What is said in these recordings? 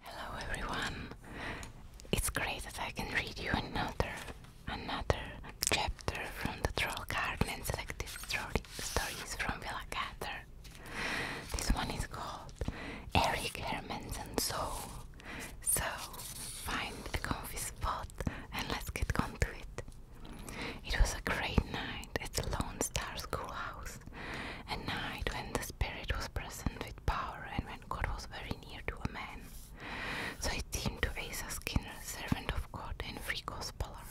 Hello everyone. It's great that I can read you another another chapter from the Troll Garden and stories from Villa Gatter. This one is called Eric Herman's and So find a comfy spot and let's get on it. It was a great night at the Lone Star Schoolhouse weeks. night when the spirit was present with power and when God was very near to a man. So it seemed to Asa Skinner, servant of God and free gospeler.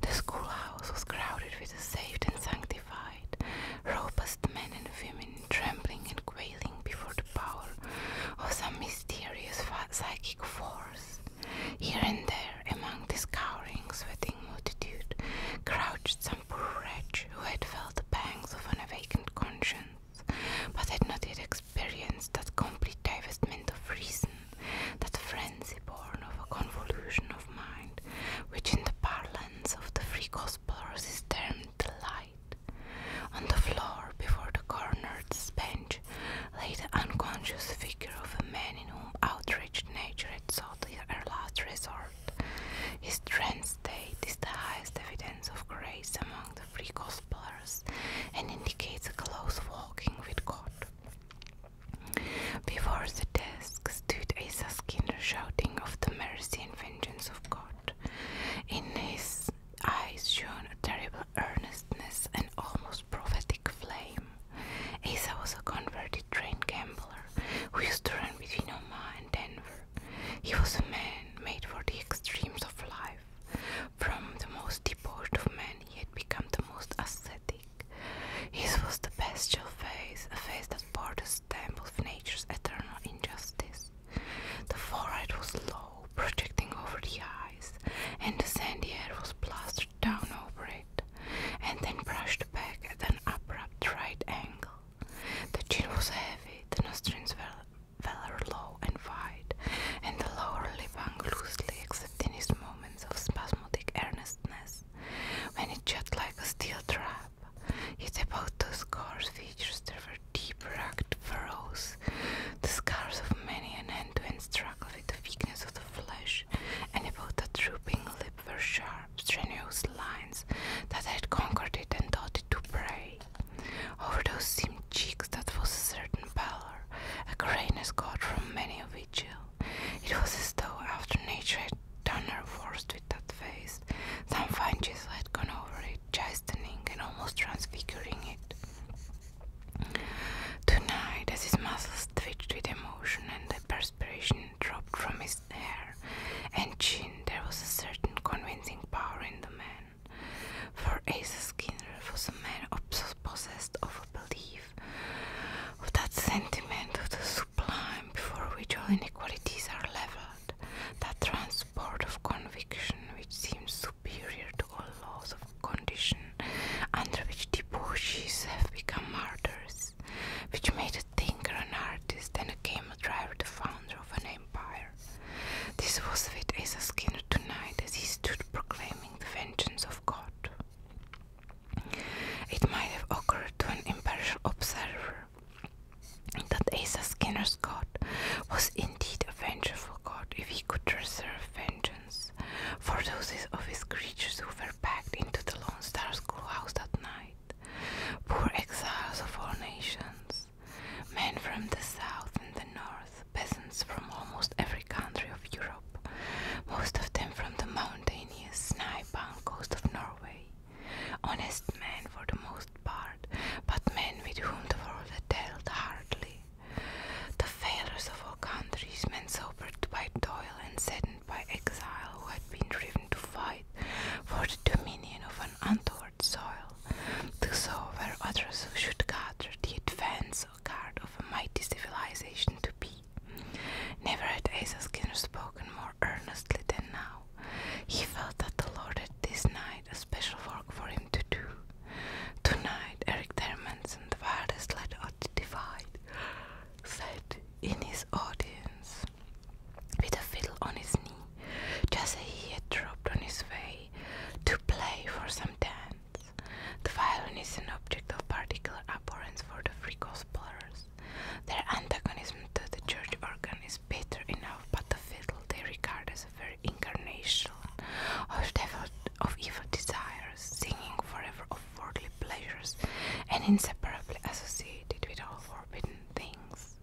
The schoolhouse was crowded with the saved and sanctified, robust men and women trembling and quailing before the power of some mysterious psychic force. Here and there, among this cowering, sweating multitude, crouched some poor wretch who had felt the pangs of an awakened conscience, but had not yet experienced that complete divestment of reason, that frenzy born of a convulsion of mind, which in the parlance of the free gospelers is termed delight. On the floor before the coroner's bench lay the unconscious figure of a man in whom outraged nature had sought her last resort. His trance state is the highest evidence of grace among the free gospelers and indicates a close walking with God. Before the desk stood Asa Skinner shouting of the mercy and vengeance of God. In his eyes shone a terrible earnestness and almost prophetic flame. Asa was a converted train gambler who used to run between Omaha and Denver. He was a man made for the extremes of life. From the most debauched of men, he had become the most ascetic. His was the bestial face, a face that bore the stamp of nature's eternal injustice. The forehead was low, projecting over the eyes, and the sandy hair was plastered down over it, and then brushed back at an abrupt right angle. The chin was heavy, the nostrils were rather low and wide, and the lower lip hung loosely except in his moments of spasmodic earnestness, when it jetted like a steel trap. Yet about those coarse features there were deep racked furrows, the scars of many an end-to-end -end struggle with the weakness of the flesh, and about the drooping lip for sharp, strenuous lines that had conquered it and taught it to pray. Over those same cheeks that was a certain pallor, a grayness got from many a vigil. It was as though after nature had done her worst with that face, some fine chisel had gone over it, chastening and almost transfiguring it. Tonight, as his muscles twitched with emotion and the perspiration dropped from his hair and chin. There was a certain convincing power in the man. For Asa Skinner was a man possessed of a belief, of that sentiment of the sublime before which all inequalities are levelled, that transport of conviction which seems superior to all laws of condition under which debauchees have become martyrs, which made it thinker, an artist, and a camel driver, the founder of an empire. This was with Asa Skinner tonight as he stood proclaiming the vengeance of God. It might have occurred to an impartial observer that Asa Skinner's God was indeed a vengeful God if he could reserve vengeance for those of his creatures who were packed into the Lone Star schoolhouse that night. Poor exiles of all nations, men from the south and the north, peasants from almost every country of Europe, most of them from the mountainous, snow-bound coast of Norway. Honest men for the most part, but men with whom the world had dealt hardly. The failures of all countries, men sobered by toil and saddened threatened by exile who had been driven to fight for the dominion of an untoward soil. So were others should gather the advance guard of a mighty civilization to be. Never had Asa Skinner spoken more earnestly than now. He felt that the Lord had this night a special work for him to do. Tonight, Eric Dermanson, the wildest lad of the divide, sat in his audience with a fiddle on his knee, just as he had dropped on his way to play for some dance. The violin is an object of particular abhorrence for the free gospelers. Their antagonism to the church organ is bitter enough, but the fiddle they regard as a very incarnation of, of evil desires, singing forever of worldly pleasures and inseparably associated with all forbidden things.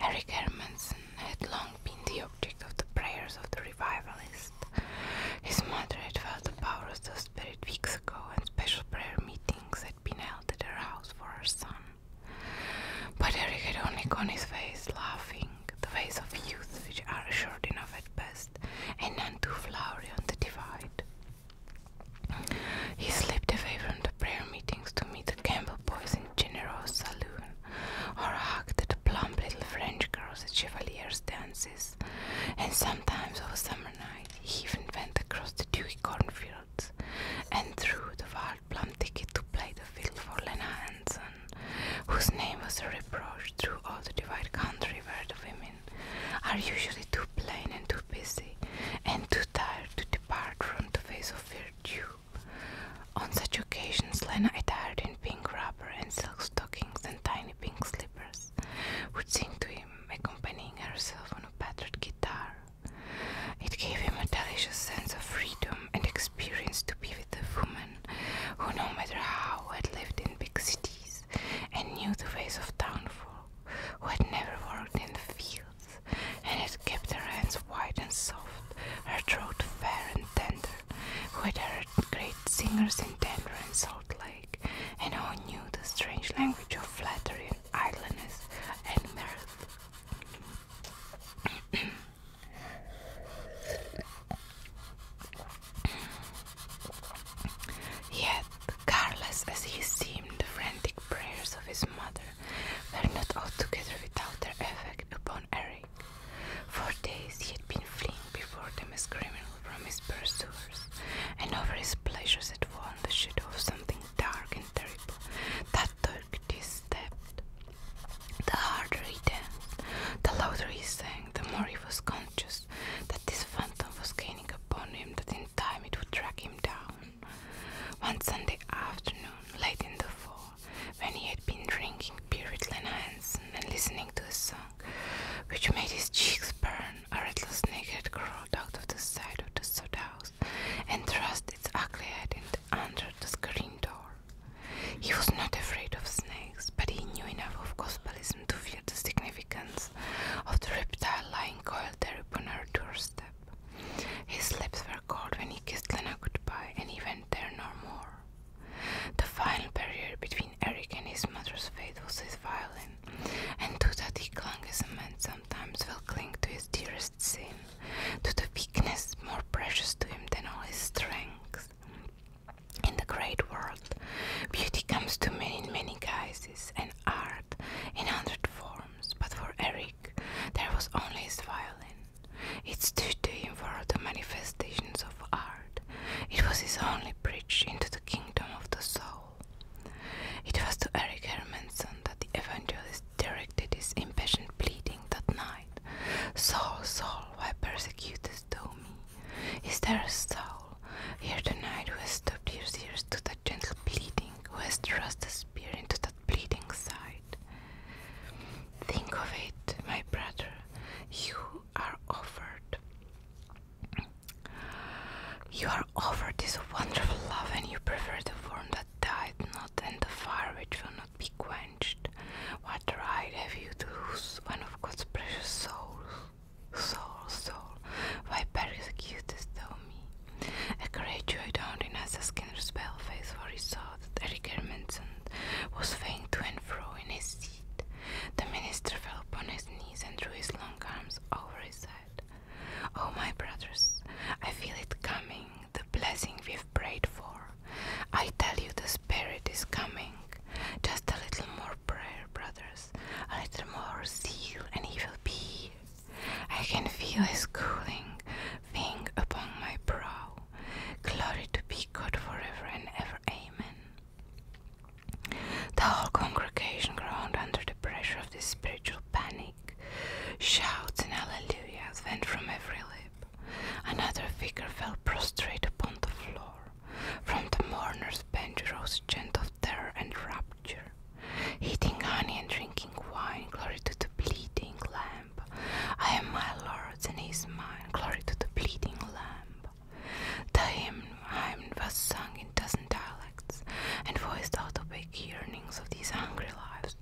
Eric Hermanson had long been the object of the prayers of the revivalists. His mother had felt the powers of the spirit weeks ago, and special prayer meetings had been held at her house for her son. But Eric had only gone his ways laughing, the ways of youth which are short enough at best and none too flowery on the divide. He slipped away from the prayer meetings to meet the Campbell boys in General's saloon, or hugged the plump little French girls at Chevalier's dances, and sometimes of a summer night he even went across the dewy cornfields and through the wild plum ticket to play the field for Lena Hanson, whose name was a reproach through all the divide country where the women are usually too plain and too busy and too tired to depart from the face of virtue. On such occasions, Lena, attired in pink rubber and silk stockings and tiny pink slippers, would sing to him, accompanying herself on a battered guitar. It gave him a delicious sense of freedom and experience to be with a woman who, no matter how, had lived in big cities and knew the ways of townfolk, who had never worked in the fields and it kept her hands white and soft, her throat fair and tender, who had heard great singers in Denver and Salt Lake, and who knew the strange language of flattery and idleness and mirth. Yet Careless as he seemed, the frantic prayers of his mother were not altogether without their effect upon Eric. For days he had been fleeing before them screaming from his pursuers, and over his pleasures had fallen the shadow of something dark and terrible that took his The harder he danced, the louder he sang, the more he was conscious that this phantom was gaining upon him, that in time it would drag him down. One Sunday afternoon, late in the fall, when he had been drinking beer with Lena Hansen and listening to a song which made his cheeks burn, a rattlesnake had crawled out of the side of the sod house and thrust its ugly head under the screen door. He was not afraid of snakes, but he knew enough of gospelism to feel the significance of the reptile lying coiled there upon her doorstep. His lips were cold when he kissed Lena goodbye, and he went there no more. The final barrier between Eric and his mother's fate was his violin, and to that he clung as a man sometimes will cling to his dearest sin, to the weakness more precious to him than all his strength. In the great world, beauty comes to men in many guises, and art art in hundred forms, but for Eric there was only his violin. Its him for the manifestations of art. It was his only bridge into the kingdom of the soul. It was to Eric Hermanson that the evangelist directed his impatient pleading that night. Soul, soul, why persecutest thou me? Is there a soul here tonight who has stopped his ears to the? gentle bleeding who has thrust a spear into that bleeding side. Think of it, my brother, you are offered. You are offered this wonderful love, and you prefer the form that died not, and the fire which will not be quenched. What right have you to lose one of God's precious souls? Soul, soul, why persecutest thou me? A great graduate only as a skin spell face for he saw that Eric Hermanson was faint to and fro in his seat. The minister fell upon his knees and threw his long arms over his head. Oh, my brothers, I feel it coming, the blessing we've prayed for. I tell you, the Spirit is coming. Just a little more prayer, brothers, a little more zeal, and he will be I can feel his cooling thing upon my brow. Glory to be God forever and ever. Amen. The whole congregation groaned under the pressure of this spiritual panic. Shouts and hallelujahs went from every lip. Another figure fell prostrate upon the floor. From the mourner's bench rose a chant of terror and rapture eating honey and drinking wine, glory to the bleeding lamb. I am my Lord's and he is mine, glory to the bleeding lamb. The hymn, was sung in dozen dialects and voiced all the big yearnings of these hungry lives,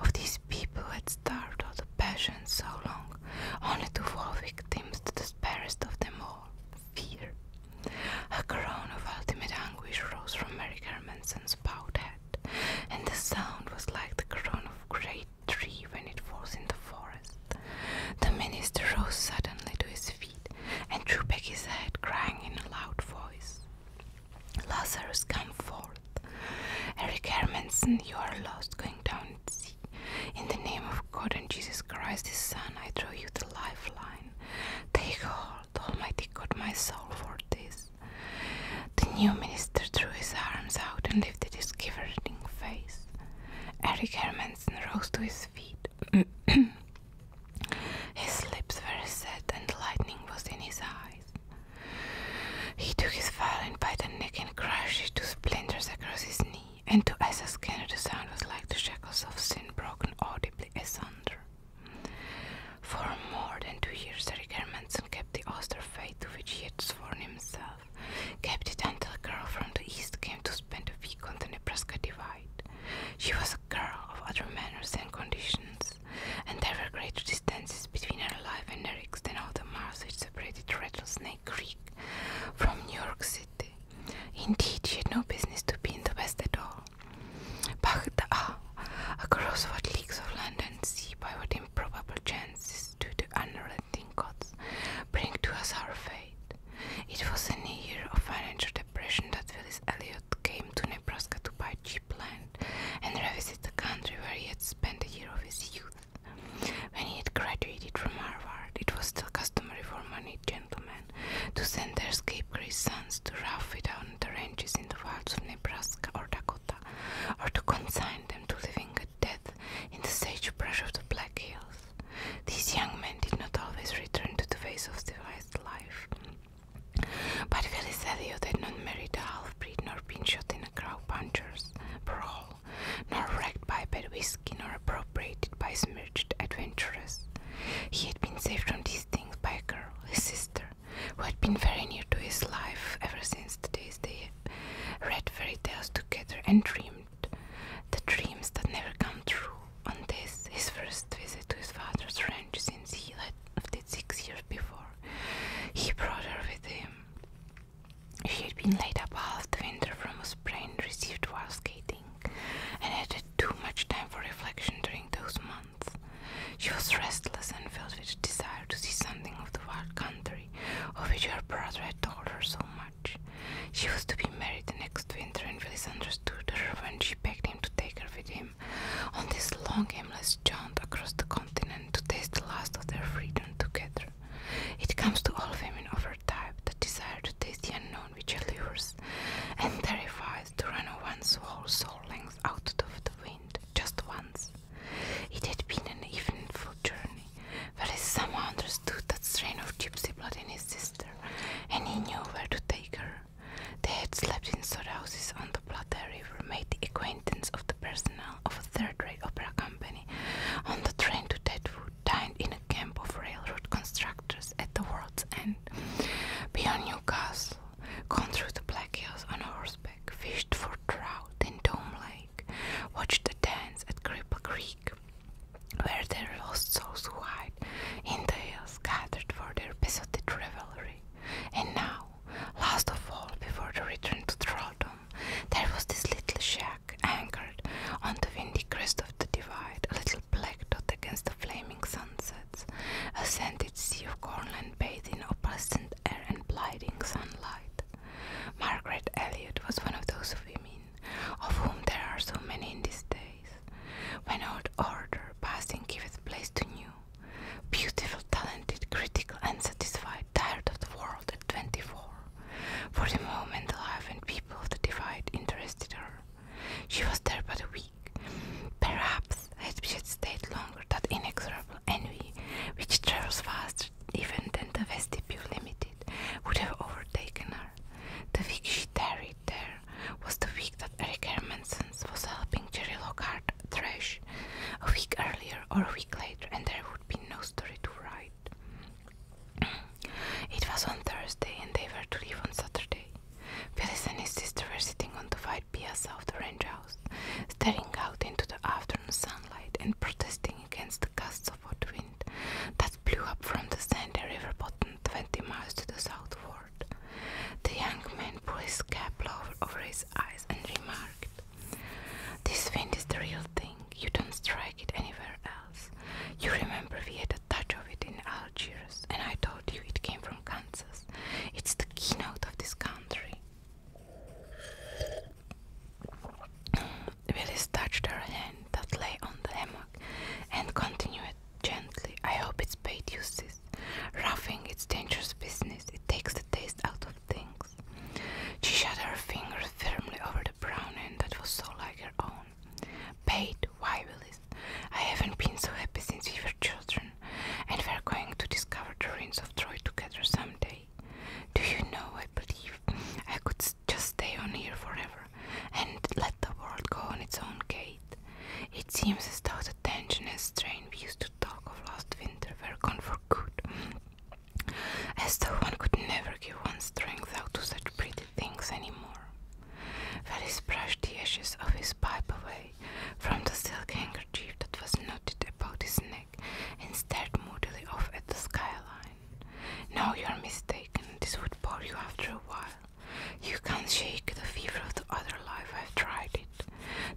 of these people who had starved out the passion so long, only to fall victims to the sparest of them all, fear. A groan of ultimate anguish rose from Mary Hermanson's bowed head, and the sound was like the groan of a great tree when it falls in the forest. The minister rose suddenly to his feet and drew back his head, crying in a loud voice, Lazarus, come forth. Eric Hermanson, you are lost, going down at sea. In the name of God and Jesus Christ, his Son, I throw you the lifeline. Take hold. Almighty God, my soul for this. The new minister threw his arms out and lifted his quivering face. Eric Hermanson rose to his feet. his lips were set and lightning was in his eyes. He took his violin by the neck and crushed it to splinters across his knee, and to Asa Skinner the sound was like the shackles of sin broken audibly asunder. For more than two years, Eric Germanson kept the austere faith to which he had sworn himself, kept it until a girl from the east came to spend a week on the Nebraska Divide. She was a girl of other manners and conditions, and there were greater distances between her life and Eric's than all the miles which separated Rattlesnake Creek from New York City. Indeed, she had no business to be in the West at all. Baghdad, across ah, what leagues of land and sea by what improbable chances do the unrelenting gods bring to us our fate. It was in a year of financial depression that Phyllis Eliot came to Nebraska to buy cheap land and revisit the country where he had spent a year of his youth. When he had graduated from Harvard, it was still customary for moneyed gentlemen to send their scapegrace sons to rough it out the ranges in the wilds of Nebraska or Dakota, or to consign them to living a death in the sagebrush of the Black Hills. These young men did not always return to the ways of civilized life. But Phyllis Elliot had not married a half-breed nor been shot in a crowd-puncher's brawl, nor wrecked by bad whiskey nor appropriated by smirched adventurers. He had been saved from these things by a girl, his sister, who had been very near to his life ever since the days they read fairy tales together and dreamed the dreams that never come true. On this, his first visit to his father's ranch since he left it six years before, he brought her with him. She had been laid up half the winter from a sprain received while skating, and had too much time for reflection during those months. She was restless and filled with desire to see something of the wild country of which her brother had told her so much. She was to be married the next winter, and Willis understood her when she begged him to take her with him on this long, aimless jaunt across the continent to taste the last of their freedom together. It comes to all women of her type the desire to taste the unknown which allures and terrifies to run once whole soul length out of the wind, just once. It had been an eventful journey, but as somehow understood that strain of gypsy blood in his sister, and he knew where to take her. They had slept in sod houses on the Plata River, made the acquaintance of the personnel of a third-rate opera company, on the train to Deadwood, dined in a camp of railroad constructors at the world's end, beyond Newcastle, gone through the Black Hills on horseback, fished for trout in Dome Lake, watched the dance at Cripple Creek, where their lost souls who hide in the hills gathered for their besotted revelry. And now, last of all, before the return to Trolldom, there was this little shack anchored on the windy crest of the divide, a little black dot against the flaming sun a scented sea of cornland bathed in opalescent air and blighting sunlight. Margaret Elliot was one of those women, of whom there are so many in these days, when old order passing giveth place to new. Beautiful, talented, critical, unsatisfied, tired of the world at twenty four. For the moment, life and people that divide interested her. She was there but a week Perhaps had we had stayed longer that inexorable envy, which travels faster even than the vestibule limited, would have overtaken her. The week she tarried there was the week that Eric Hermanson was helping Jerry Lockhart thresh, a week earlier or a week later, and there would be no story to write. It was on Thursday, and they were to leave on Saturday. Phyllis and his sister were sitting on the wide piazza of the ranch house, staring out into the afternoon sunlight and protesting against the gusts of hot wind that blew up from the sandy river bottom twenty miles to the southward. The young man pulled his cap lower over his eyes and remarked, This wind is the real thing. You don't strike it anywhere else. You remember we had a touch of it in Algiers, and I told you it came from Kansas. It's the keynote of this country. Willis touched her hand that lay on the hammock and continued gently. I hope it's paid Roughing it's dangerous business. It takes the taste out of things. She shut her fingers firmly over the brown end that was so like her own. Paid? Why, Willis? I haven't been so happy since we were children, and we're going to discover the ruins of Troy together someday. Do you know, I believe I could just stay on here forever and let the world go on its own gait. It seems as though the tension and strain we used to talk of last winter were gone for good, as though one could never give one's strength out to such pretty things anymore. Ferris brushed the ashes of his pipe away from the silk handkerchief that was knotted about his neck and stared moodily off at the skyline. No, you're mistaken. This would bore you after a while. You can't shake the fever of the other life. I've tried it.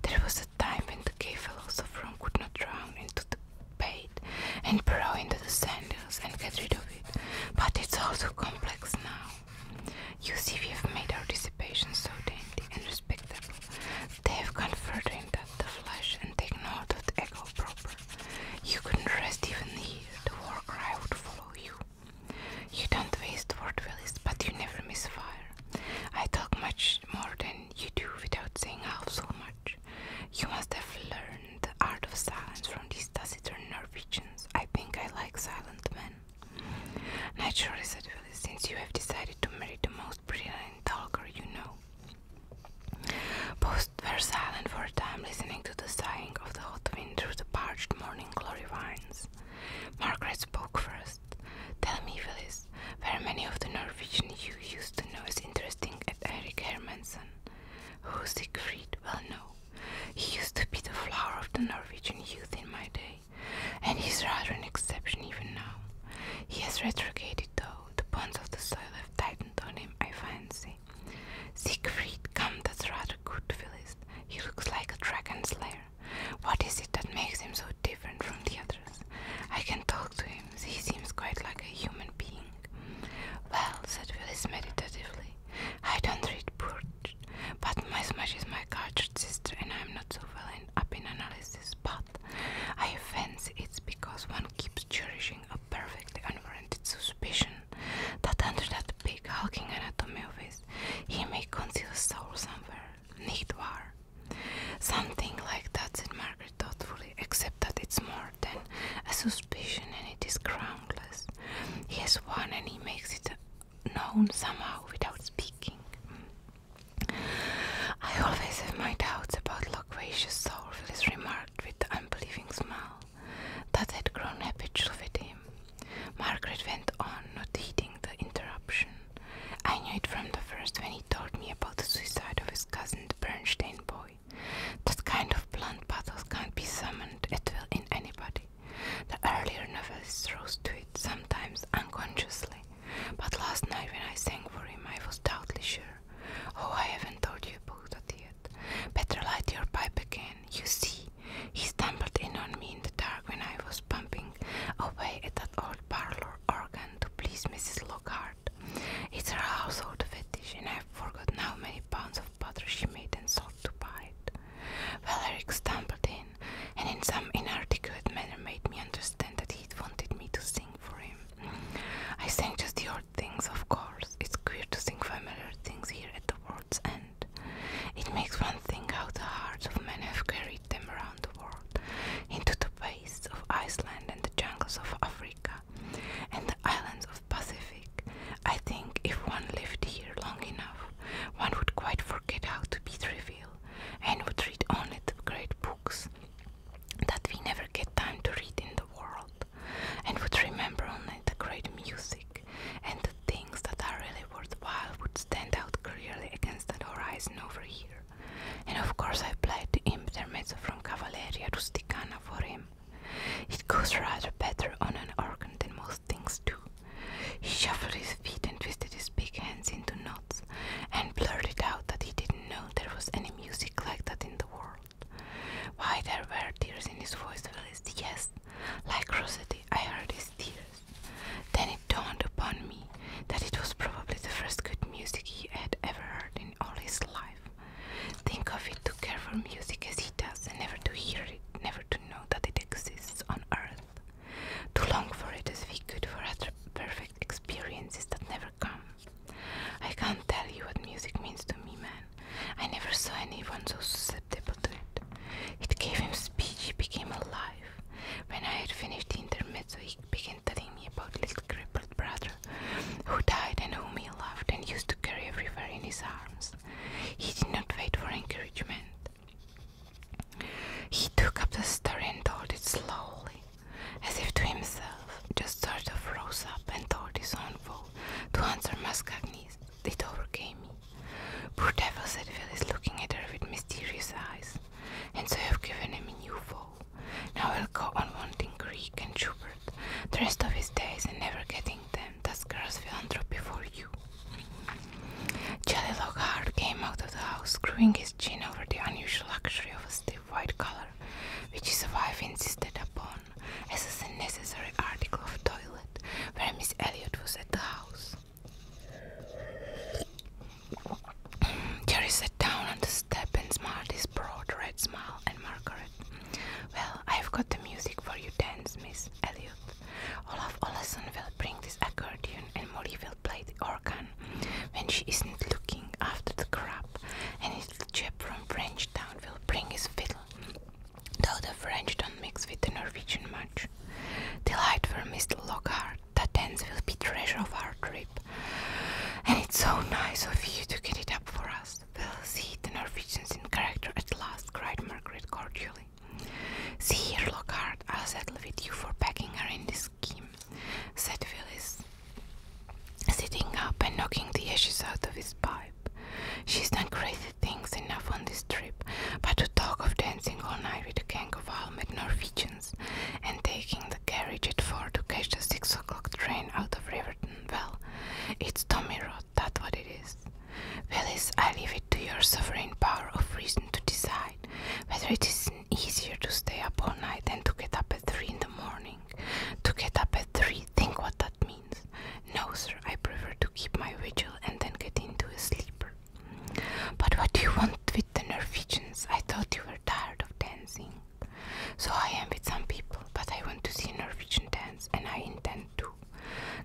There was a time when the gay fellows of Rome could not drown into the bait and burrow into the sanders and get rid of it. But it's all too complex now. You see, we have made our dissipation so dainty and respectable. They have gone further into the flesh and taken hold of the echo proper. You couldn't rest even here, the war cry would follow you. You don't waste word, Willis, but you never miss fire. I talk much more than you do without saying half so much. You must have learned the art of silence from these taciturn Norwegians. I think I like silent men. Naturally, said Willis, since you have decided to marry the most brilliant talker you know. Both were silent for a time, listening to the sighing of the hot wind through the parched morning glory vines. Margaret spoke first. Tell me, Willis, were many of the Norwegian you used to know is interesting at Eric Hermansen, who Siegfried well know? He used to be the flower of the Norwegian youth in my day, and he's rather an exception even now. He has retrograded though, the bonds of the soil have tightened on him, I fancy. Siegfried, come, that's rather good, Phyllis. He looks like a dragon slayer. What is it that makes him so different from the others? I can talk to him, he seems quite like a human being. Well, said Willis meditatively, I don't read Purge, but my smash is my cultured sister, and I'm not so well in, up in analysis. But I fancy it's because one keeps cherishing a perfectly unwarranted suspicion that under that big hulking anatomy of his, he may conceal a soul somewhere. Need war. Something like that, said Margaret thoughtfully, except that it's more than a suspicion and it is groundless. He has one and he makes it known somehow without speaking. Mm. I always have my doubts about loquacious soul, Phyllis remarked with the unbelieving smile that had grown habitual with him. Margaret went on, not heeding the interruption. I knew it from the first when he told me about the suicide of his cousin, the Bernstein boy. That kind of blunt pathos can't be summoned at will in anybody. The earlier novels rose to it, sometimes unconsciously, but last night when I sang for him, I was doubtly sure. Oh, I haven't told you about that yet. Better light your pipe again. You see, he stumbled in on me in the dark when I was pumping away at that old parlor organ to please Mrs. Lockhart. It's her household fetish, and I've forgotten how many pounds of butter she made and sold to buy it. Well, Eric stumbled in and in some inarticulate manner made me understand that he wanted me to sing for him. I sang just the old things, of course. It's queer to sing familiar things here at the world's end. It makes one think how the hearts of men have carried them around the world, into the wastes of Iceland and the jungles of Africa, and the islands of Pacific. I think if one lived here long enough, one would quite forget how to be trivial and would read only the great books that we never get time to read in the world, and would remember only the great music, and the things that are really worthwhile would stand out clearly against that horizon over here. And of course, I played the intermezzo from Cavalleria Rusticana for him. It goes rather better on an organ than most things too. He shuffled his feet and twisted his big hands into knots and blurted out that he didn't know there was any music like that in the world. Why there were tears in his voice, Phyllis, yes. Like Rossetti, I heard his tears. Then it dawned upon me that it was probably the first good music he had ever heard in all his life. Think of it to care for music as he does, and never to hear it, never to know that it exists on earth. To long for it as we could for other perfect experiences that never come. I can't tell you what music means to me, man. I never saw anyone so susceptible to it. It gave him speech, he became alive. When I had finished the intermezzo, he began telling me about little crippled brother who died and whom he loved and used to carry everywhere in his arms. He did not wait for encouragement. He took up the story and told it slowly, as if to himself, just sort of rose up and told his own foe to answer Mascagnis. It overcame me. Poor devil, said Phyllis, looking at her with mysterious eyes. And so i have given him a new foe. Now he'll go on wanting Greek and Schubert the rest of his days and never getting them that girl's philanthropy for you. Jelly Lockhart came out of the house, screwing his chin over the unusual luxury of a stiff white collar, which his wife insisted upon as a necessary article of toilet where Miss Elliot was at the house. Jerry sat down on the step and smiled his broad red smile at Margaret. Well, I've got the music for you dance, Miss Elliot, Olaf Oleson will bring this accordion and Molly will play the organ when she isn't looking after the crab, and little chap from Frenchtown will bring his fiddle, though the French don't mix with the Norwegian much. Delight for Mr. Lockhart, that dance will be treasure of our trip, and it's so nice of you to get it up for us. We'll see the Norwegians in character at last, cried Margaret cordially. See here, Lockhart, I'll settle with you for backing her in this scheme, said Phyllis, sitting up and knocking the ashes out of his pipe. She's done crazy things enough on this trip, but to talk of dancing all night with a gang of Almed Norwegians and taking the carriage at four to catch the six o'clock train out of Riverton, well, it's Tommy Rot, that's what it is. Willis, I leave it to your sovereign power of reason to decide whether it is easier to stay up all night than to get up at three in the morning. To get up at three, think what that means. No, sir, I prefer to keep my vigil and then get into a sleeper. But what do you want with the Norwegians? I thought you were tired of dancing. So I am with some people, but I want to see a Norwegian dance and I intend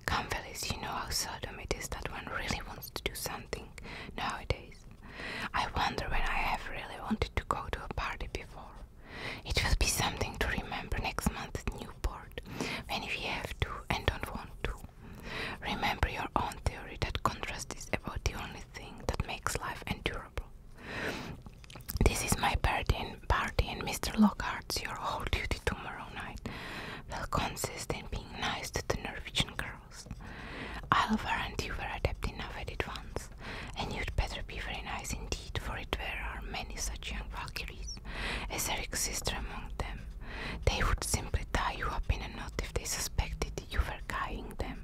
Come, fellas, you know how seldom it is that one really wants to do something nowadays. I wonder when I have really wanted to go to a party before. It will be something to remember next month at Newport when we have to and don't want to. Remember your own theory that contrast is about the only thing that makes life endurable. This is my party and, party and Mr. Lockhart's your whole duty tomorrow night will consist in being nice to the Norwegian girls. I'll warrant you were adept enough at it once, and you'd better be very nice indeed, for it there are many such young Valkyries, as Eric's sister among them. They would simply tie you up in a knot if they suspected you were guying them.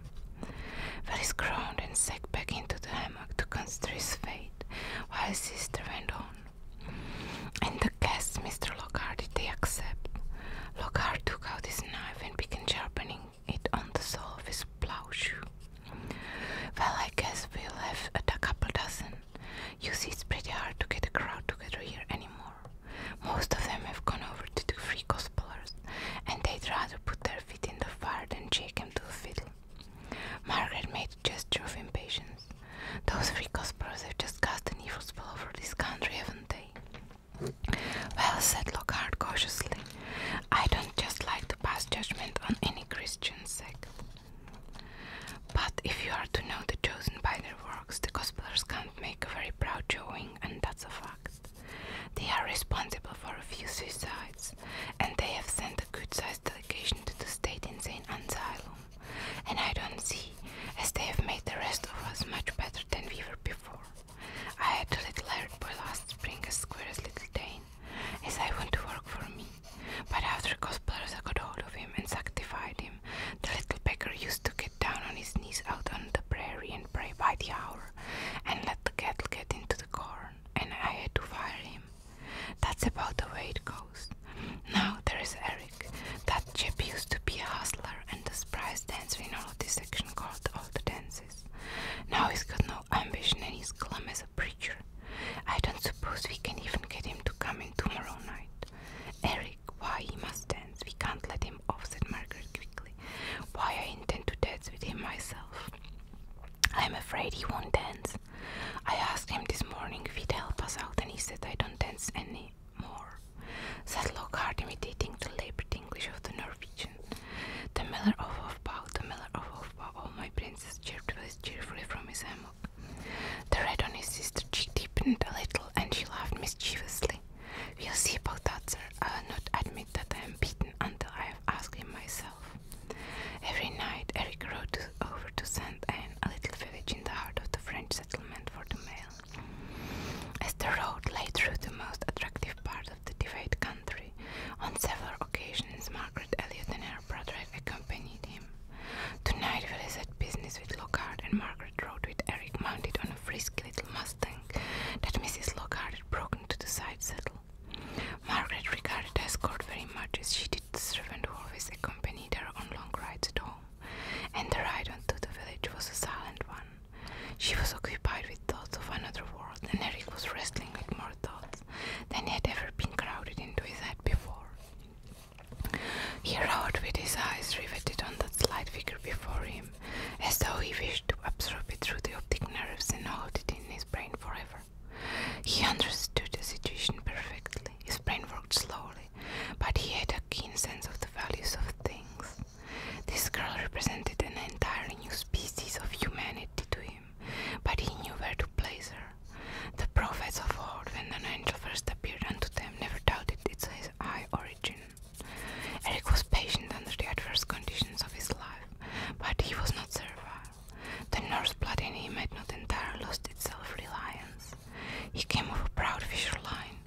Varys groaned and sank back into the hammock to consider his fate, while his sister went on. And the guests, Mr. Lockhart, Did they accept. Lockhart took out his knife and began sharpening it on the sole of his plow shoe. Well, I guess we'll have a couple dozen. You see, it's pretty hard to get a crowd together here anymore. Most of them have gone over to the free gospelers, and they'd rather put their feet in the fire than shake 'em to the fiddle. Margaret made a gesture of impatience. Those three conspirators have just cast an evil spell over this country, haven't they? Well, said Lockhart cautiously, I don't just like to pass judgment on any Christian sect. But if you are to know the chosen by their works, the Gospelers can't make a very proud showing, and that's a fact. They are responsible for a few suicides, and they have sent a good sized delegation to the state insane asylum and I don't see, as they have made the rest of us much better than we were before. I had to declare it boy last spring a square as little Dane, as I went to work for me. But after cosplayers got hold of him and sanctified him, the little beggar used to get down on his knees out on the prairie and pray by the hour, and let the cattle get into the corn, and I had to fire him. That's about the way it goes. Now there is Eric. That chap used to be a hustler and a surprise dancer in all of section called All the Dances. Now he's got no ambition and he's glum as a preacher. I don't suppose we can even get him to come in tomorrow night. Eric, why he must dance. We can't let him off, said Margaret quickly. Why I intend to dance with him myself. I'm afraid he won't dance. I asked him this morning if he'd help us out, and he said I don't dance any more. Sadlockard, imitating the labored English of the Norwegian. The miller of Hofbau, the miller of Hofbau, oh my princess, chirped cheerfully from his hammock. The red on his sister's cheek deepened a little, and she laughed mischievously. We'll see about that, sir. I will not admit that I am beaten until I have asked him myself. Every night Eric rode over to Saint Anne, a little village in the heart of the French settlement for the mail. As the road lay through the most attractive part of the Divide country, on several occasions Margaret Elliot and her brother accompanied him. Tonight Willis had business with Lockhart, and Margaret rode with Eric mounted on a frisky little Mustang that Mrs. Lockhart had broken to the side saddle. Margaret regarded the escort very much as she did the servant who always accompanied her on long rides at home and the ride on to the village was a silent one. She was occupied with thoughts of another world, and Eric was wrestling with more thoughts than he had ever been crowded into his head before. He rode with his eyes riveted on that slight figure before him, as though he wished to absorb it through the optic nerves and hold it in his brain forever. He understood the situation perfectly. His brain worked slowly, but he had a keen sense of the values of things. This girl represented an entirely new species of humanity to him, but he knew where to place her. The prophets of old, when an angel first appeared unto them, never doubted its high origin. Eric was patient under the adverse conditions of his life, but he was not servile. The Norse blood in him had not entirely lost its self reliance. He came of a proud fisher line,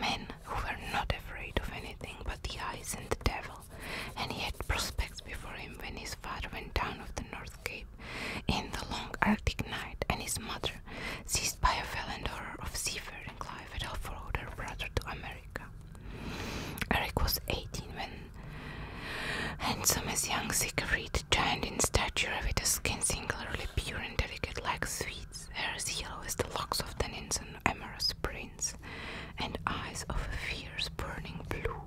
men who were not afraid of anything but the ice and the devil, and he had prospects before him when his father went down of the North Cape in the long Arctic night, and his mother, seized by a violent horror of seafaring life, had followed her brother to America. Eric was eighteen when handsome as young Siegfried, giant in stature with a skin singularly pure delicate like sweets, hair as yellow as the locks of tannins and amorous prince, and eyes of a fierce burning blue,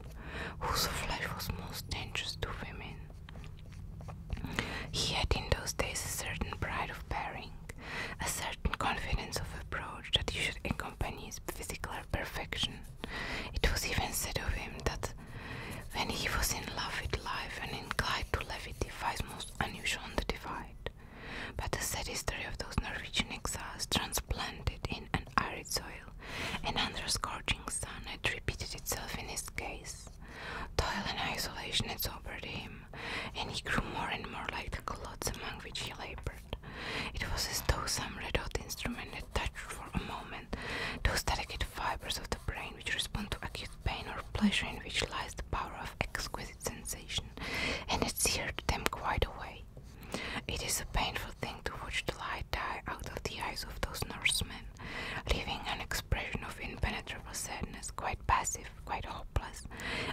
whose flesh was most dangerous to women. He had in those days a certain pride of bearing, a certain confidence of approach that usually accompanies physical perfection. It was even said of him that when he was in love with life and inclined to levity, most unusual on the divide. But the sad history of those Norwegian exiles transplanted in an arid soil and under a scorching sun had repeated itself in his case. Toil and isolation had sobered him, and he grew more and more like the clods among which he labored. It was as though some red hot instrument had touched for a moment those delicate fibers of the brain which respond to acute pain or pleasure, in which lies the power of exquisite sensation, and it here them quite away. It is a painful thing to watch the light die out of the eyes of those Norsemen, leaving an expression of impenetrable sadness, quite passive, quite hopeless,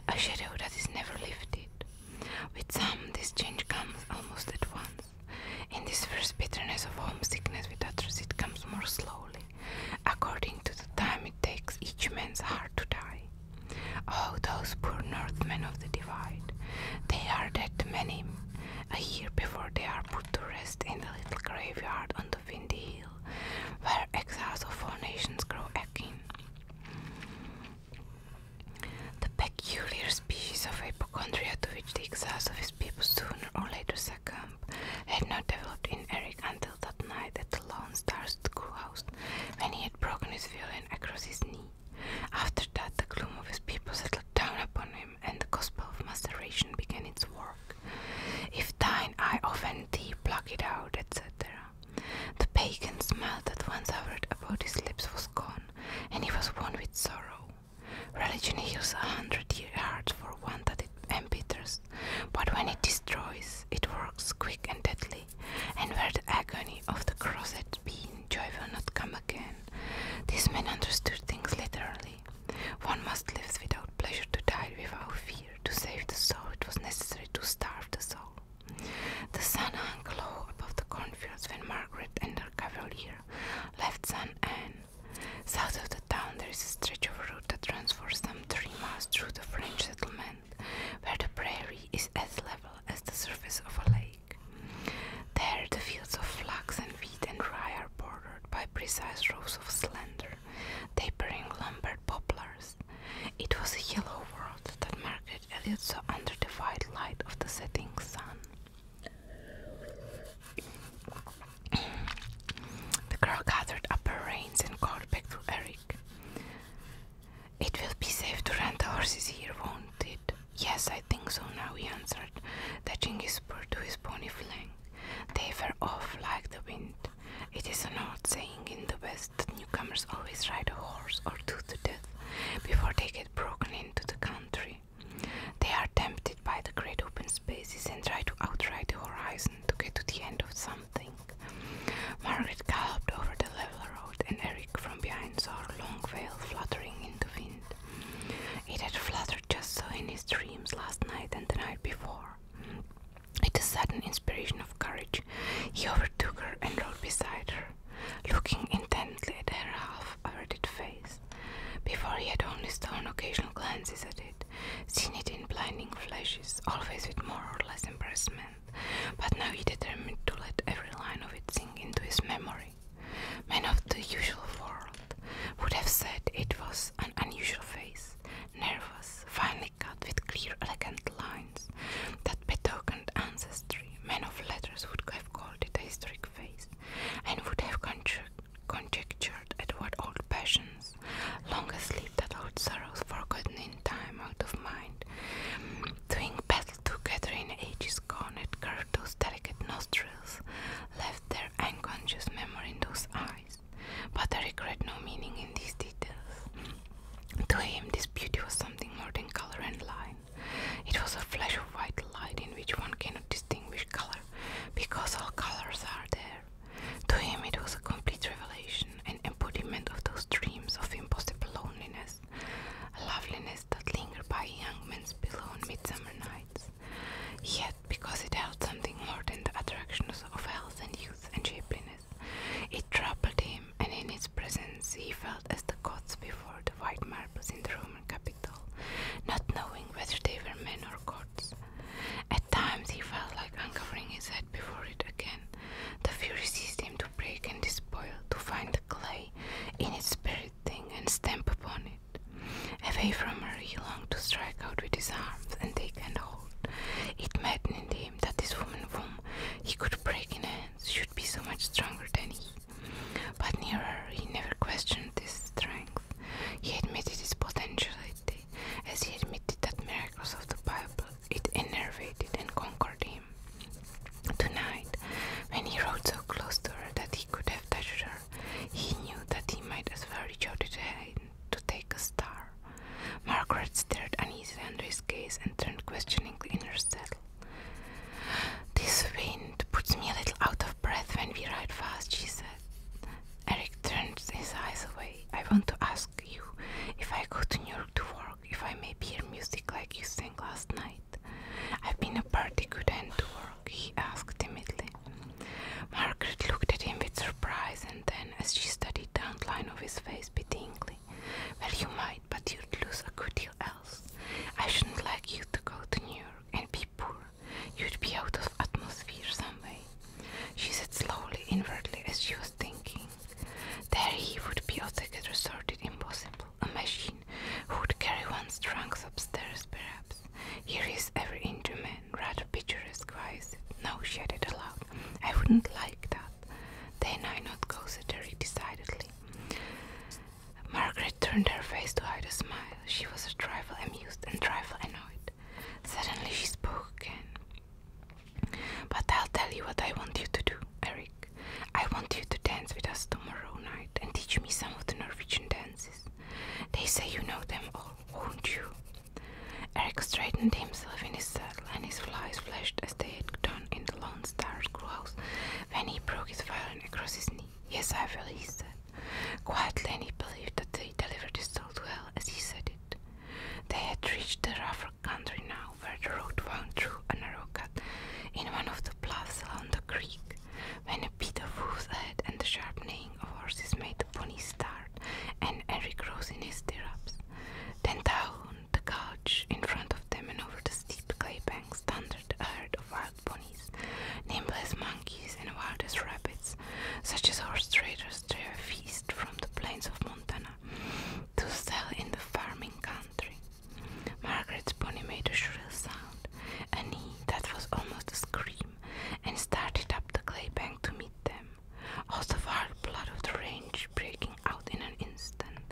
a shadow that is never lifted. With some, this change comes almost at once. In this first bitterness of homesickness with others, it comes more slowly according to the time it takes each man's heart to die. Oh, those poor Northmen of the Divide! They are dead many a year before they are put to rest in the little graveyard on the windy hill, where exiles of all nations grow again The peculiar species of hypochondria to which the exiles of his people sooner or later succumb camp had not developed in Eric until that night at the Lone Star schoolhouse when he had broken his violin across his knee. After that, the gloom of his people settled down upon him, and the gospel of maceration began its work. If thine eye offend thee, pluck it out, etc. The pagan smile that once hovered about his lips was gone, and he was one with sorrow. Religion heals a hundred hearts for one that it and bitters, but when it destroys, it works quick and deadly. And where the agony of the cross had been, joy will not come again. These men understood things literally. One must live without pleasure, to die without fear. To save the soul, it was necessary to starve the soul. The sun hung low above the cornfields when Margaret and her cavalier left San Anne. South of the town there is a stretch of road that runs for some three miles through the French settlement, where the prairie is as level as the surface of a lake. There the fields of flax and wheat and rye are bordered by precise rows of slender, tapering Lombard poplars. It was a yellow world that Margaret Elliot saw under the white light of the setting sun. The girl gathered up her reins and called back to Eric. It will be safe to rent the horses here, won't it? Yes, I think so now, he answered, touching his spur to his pony flank. They were off like the wind. It is an old saying in the West that newcomers always ride a horse or two to death before they get broken into the country. They are tempted by the great open spaces and try to outride the horizon to get to the end of something. Margaret galloped over the level road, and Eric from behind saw her long veil fluttering in the wind. It had fluttered just so in his dreams last night and the night before. With a sudden inspiration of courage, he overtook her and rode beside her, looking intently at her half averted face. Before he had only stone occasional glances at it, seen it in blinding flashes, always with more or less embarrassment, but now he determined to let every line of it sink into his memory. Men of the usual world would have said it was an unusual face, nervous, finely cut with clear, elegant lines that betokened ancestry. Men of letters would have called it a historic face and would have conjectured conjectured at what old passions, long asleep that old sorrows forgotten in time out of mind, doing battle together in ages gone, had curved those delicate nostrils, left their unconscious memory in those eyes. But I regret no meaning in these details. To him, this beauty was something more than color and line. It was a flash of white light in which one cannot distinguish color, because all colors are there. To him, it was a complete revelation, an embodiment of those dreams of impossible loneliness, a loveliness that lingered by young men's pillow on midsummer nights. Yet, because it held something more than the attractions of health and youth and shapeliness, it troubled him, and in its presence he felt as the gods before the white marble in the Roman Capitol, not knowing whether they were men or gods. At times he felt like uncovering his head before it again. The fury seized him to break and despoil, to find the clay in its spirit thing and stamp upon it. Away from her he longed to strike out with his arms and take and hold. It maddened him that this woman whom he could break in hands should be so much stronger than he. But near her he never questioned his strength. He admitted his potentiality as he admitted that miracles of the Bible it enervated and conquered him. Tonight, when he rode so close to her that he could have touched her, he knew that he might as well reach out his hand to take a star. Margaret stared uneasily under his gaze and turned questioningly in her saddle. This wind puts me a little out of breath when we ride fast, she said. Eric turned his eyes away. I want to ask you if I go to New York to work, if I may hear music like you sang last night. I've been a pretty good end to work, he asked timidly. Margaret looked at him with surprise and then, as she studied the outline of his face pityingly, well, you might, but you'd lose a good deal else. I shouldn't like you to go to New York and be poor You'd be out of atmosphere some way. She said slowly, inwardly, as she was thinking. There he would be altogether sorted impossible. A machine who would carry one's trunks upstairs, perhaps. Here is every Indian man, rather picturesque, wise. No, she added aloud. I wouldn't like that. Then I not go, said Derek decidedly. Margaret turned her face to hide a smile. She was a trifle amused and trifle annoyed. Suddenly she spoke again. But I'll tell you what I want you to do, Eric. I want you to dance with us tomorrow night and teach me some of the Norwegian dances. They say you know them all, won't you? Eric straightened himself in his saddle and his flies flashed as they had done in the Lone Star's schoolhouse when he broke his violin across his knee. Yes, I will, he said. Quietly, he believed that they delivered his thought well as he said it. They had reached the rougher country now, where the road wound through a narrow cut in one of the bluffs along the creek, when a beat of hoofs ahead and the sharp neighing of horses made the pony start, and Eric rose in his stirrups. Then down the couch in front of them and over the steep clay banks thundered a herd of wild ponies, nimble as monkeys and wild as rabbits such as horse traders drew a feast from the plains of Montana to sell in the farming country. Margaret's pony made a shrill sound, a neigh that was almost a scream, and started up the clay bank to meet them, all the wild blood of the range breaking out in an instant.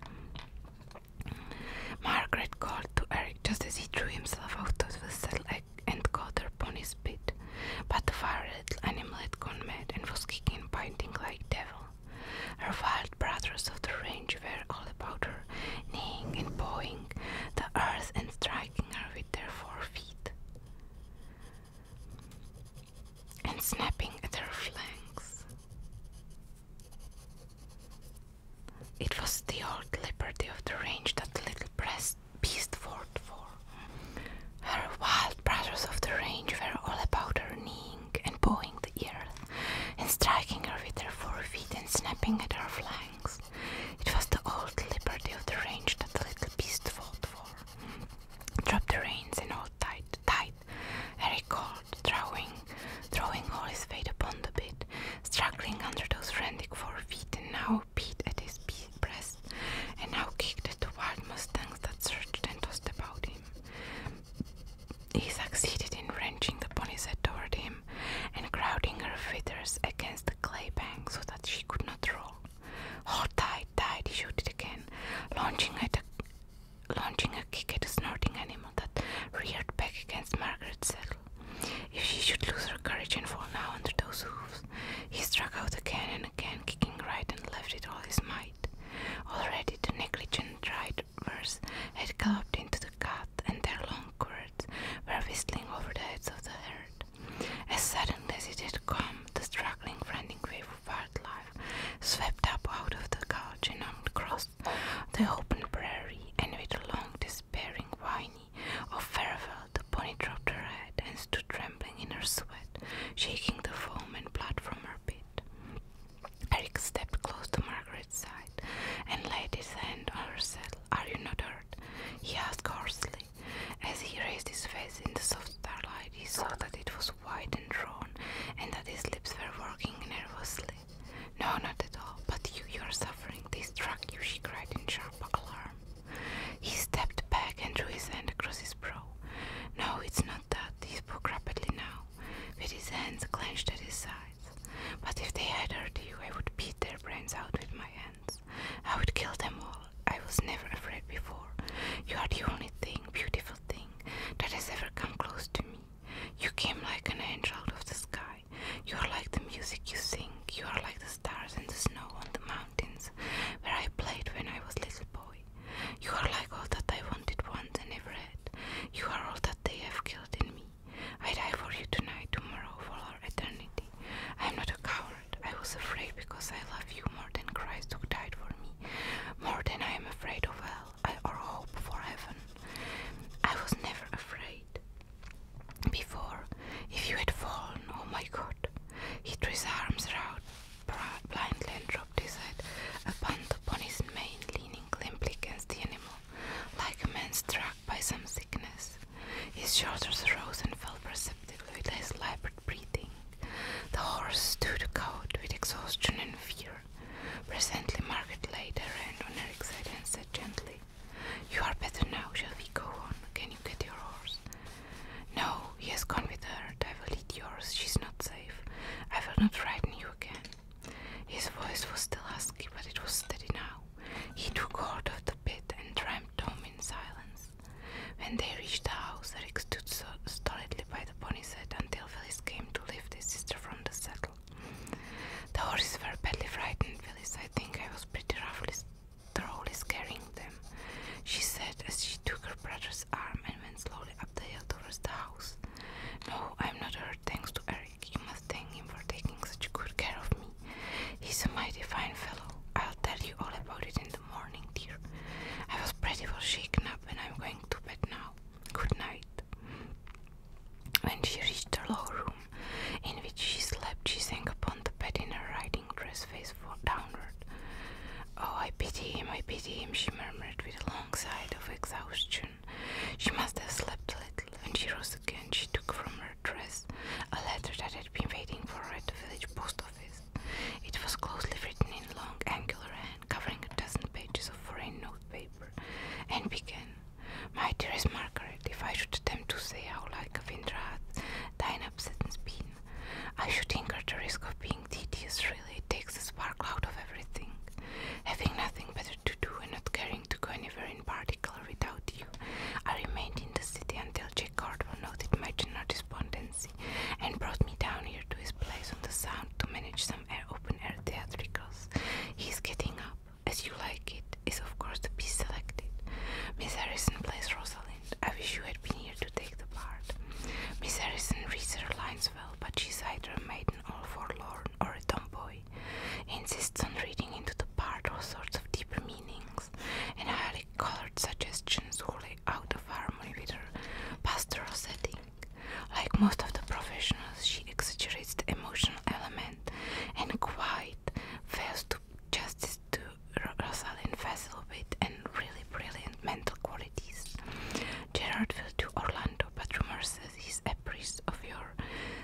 Margaret called to Eric just as he threw himself out of the saddle and caught her pony's bit, but the far little animal had gone mad and was kicking and biting like devil. Her wild brothers of the range were all about her, neighing and pawing the earth and striking her with their feet and snapping at her flanks. It was the old liberty of the range that the little press beast, fought for. Her wild brothers of the range were all about her kneeing and pawing the earth, and striking her with their forefeet and snapping at her flanks. It was the old liberty of the range that the little beast fought for. Drop the reins and hold tight, tight, Eric called, throwing, throwing all his weight upon the bit, struggling under those frantic forefeet and now beat at his breast, and now kicked at the wild mustangs that surged and tossed about him. He succeeded in wrenching the pony's head toward him and crowding her feathers against the clay bank so that she could not roll. Oh, tight, tight, he shouted again, launching, a, kick at a snorting animal that reared back against Margaret's saddle. If she should lose her courage and fall now under those hoofs, he struck out again and again, kicking right and left with all his might. Already the negligent drivers had galloped into the cut, and their long cords were whistling over the heads of the herd. As suddenly as it had come, the struggling, frantic wave of wild life swept up out of the gulch and across the open prairie, and with a long, despairing whine of farewell, the pony dropped her head and stood trembling in her sweat, shaking the foam and blood from her bit. Eric stepped close to Margaret's side and laid his hand on her saddle. Are you not hurt? he asked hoarsely. As he raised his face in the soft starlight, he saw that it was white and drawn, and that his lips were working nervously. No, not at all, but you, you are suffering. This drug!" you, she cried in sharp alarm. He stepped back and drew his hand across his brow. No, it's not that. He spoke rapidly now, with his hands clenched at his sides. But if they had hurt you, I would beat their brains out with my hands. I would kill them all. I was never afraid before. You are the only thing, beautiful thing, that has ever come close to me. You came like an angel out of the sky. You are like the music you sing. You are like the the stars and the snow on the mountains where I played when I was little boy. You are like all that I wanted once and never had. You are all that they have killed in me. I die for you tonight, tomorrow, for all eternity. I am not a coward. I was afraid because I love you more than Christ who died for me, more than I am afraid of hell or hope for heaven. I was never afraid before if you had fallen. Oh my god. He threw his arms around blindly and dropped his head upon, upon his mane, leaning limply against the animal, like a man struck by some sickness. His shoulders rose and fell perceptibly with his labored breathing. The horse stood cold with exhaustion and fear. Presently Margaret laid her hand on Eric's head and said gently, you are better now, shall we go on? Can you get your horse? No, he has gone with her. I will lead yours. She is not safe. I will not frighten you again. His voice was still husky, but it was steady now. He took hold of the bit and tramped home in silence. When they reached the house, Eric stood so stolidly by the pony's head until Phyllis came to lift his sister from the saddle. The horses were badly frightened, Phyllis. I think I was pretty roughly Troll is carrying them, she said as she took her brother's arm and went slowly up the hill towards the house. No, I'm not hurt, thanks to Eric. You must thank him for taking such good care of me. He's a mighty fine fellow. I'll tell you all about it in the morning, dear. I was pretty well shaken up, and I'm going to bed now. Good night. When she reached her lower room, in which she slept. She sank upon the bed in her riding dress, face downward. Oh, I pity him, I pity him, she murmured with a long sigh of exhaustion. She must have slept a little. And she rose again, she took from her dress a letter that had been waiting for her at the village post office. It was closely written in long, angular hand, covering a dozen pages of foreign notepaper, and began, My dearest Margaret, if I should attempt to say how, like a Vindrath, Dynaps has been, I should incur the risk of being tedious, really. It takes the spark out of everything. Having nothing better to do and not caring to go anywhere in particular without you, I remained in the city until Jack Cardwell noted my general despondency and brought me down here to his place on the Sound to manage some open air theatricals. He's getting up, as you like it, is of course to be selected. Miss Harrison plays Rosalind. I wish you had been here to take the part. Miss Harrison reads her lines well, but she's either a maiden all forlorn or a tomboy. Insists on reading into the part all sorts of deeper meanings, and highly colored suggestions wholly out of harmony with her pastoral setting. Like most of the professionals, she exaggerates the emotional element and quite fails to to justice to Rosalind Vesselbit and really brilliant mental qualities. Gerard will do Orlando, but rumor says he's a priest of your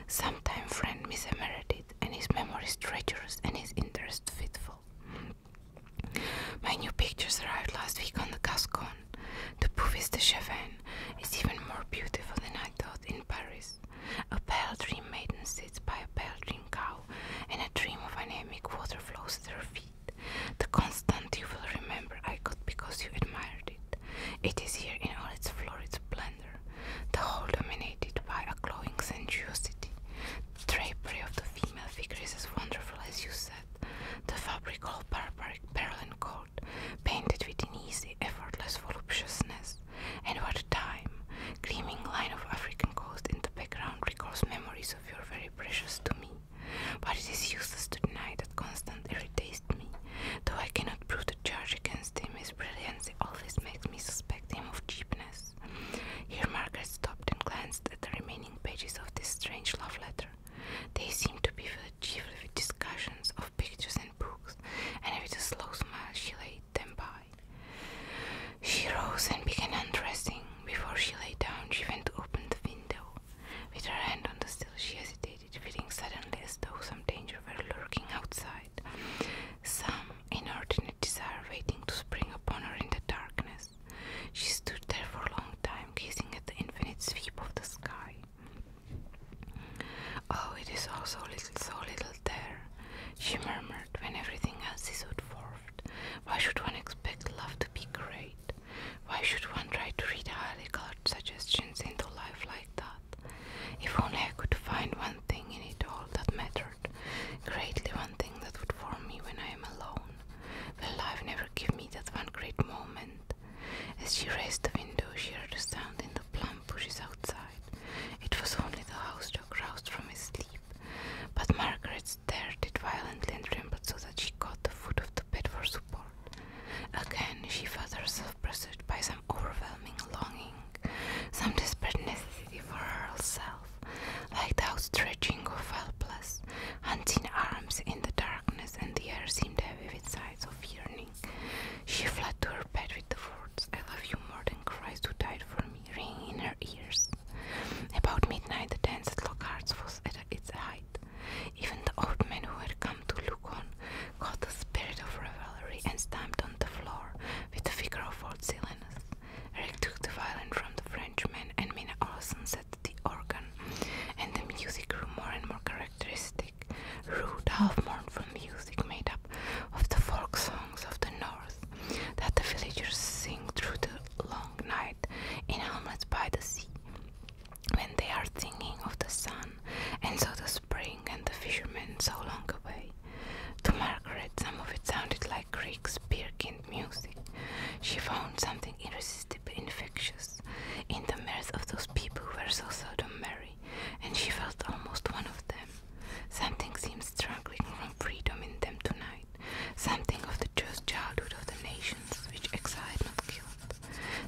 sometime friend Miss Meredith, and his memory is treacherous and his interest fitful. My new pictures arrived last week on the Gascon. The Bouffes de Chavannes is even more beautiful than I thought in Paris. A pale dream maiden sits by a pale dream cow, and a dream of anemic water flows at her feet. The constant you will remember I got because you admired it. It is here in all its florid splendor, the whole dominated by a glowing sensuosity. The drapery of the female figure is as wonderful as you said. The fabric all barbaric, pearl and gold, painted with an easy, effortless voluptuousness and what a time! Gleaming line of African coast in the background recalls memories of your very precious to me. But it is useless to deny that Constant irritates me. Though I cannot prove the charge against him, his brilliancy always makes me suspect him of cheapness. Here Margaret stopped and glanced at the remaining pages of this strange love letter. They seemed to be filled chiefly with discussions of pictures and books, and with a slow smile she laid them by. She rose and began undressing. Before she lay down, she went to open the window. With her hand on the sill, she hesitated, feeling suddenly as though some danger were lurking outside, some inordinate desire waiting to spring upon her in the darkness. She stood there for a long time, gazing at the infinite sweep of the sky. Oh, it is also little, so little there, she murmured when everything else is so Why should one expect love to be great? Why should one try to read highly colored suggestions into life like that? If only I could find one thing in it all that mattered, greatly one thing that would warm me when I am alone. Will life never give me that one great moment? As she raised the window, she heard a sound in the plum bushes outside. It was only the house dog roused from his sleep. But Margaret stirred it violently and trembled so that she caught the foot of the bed for support. Again, she felt herself pursued by some overwhelming longing, some desperate necessity for herself, like the outstretching of helpless, hunting arms in the darkness, and the air seemed heavy with sighs of yearning. She fled to her bed with the words, I love you more than Christ who died for me. Ring in her ears. About midnight, the dance at Lockhart's was at its height. Even the old man who had come to look on caught the spirit of revelry and stamped on the floor with the figure of old Silenus. Eric took the violin from the Frenchman, and Minna Olson set the organ, and the music grew more and more characteristic, rude, half mournful music made up of the folk song of the north that the villagers sing through the long night in hamlets by the sea, when they are thinking of the sun, and so the spring and the fishermen so long away. To Margaret, some of it sounded like Greek spear-kind music. She found something irresistibly infectious in the mirth of those people who were so seldom merry, and she felt almost one of them. Something seems struggling from freedom in them tonight, something of the just childhood of the nations which excited not killed.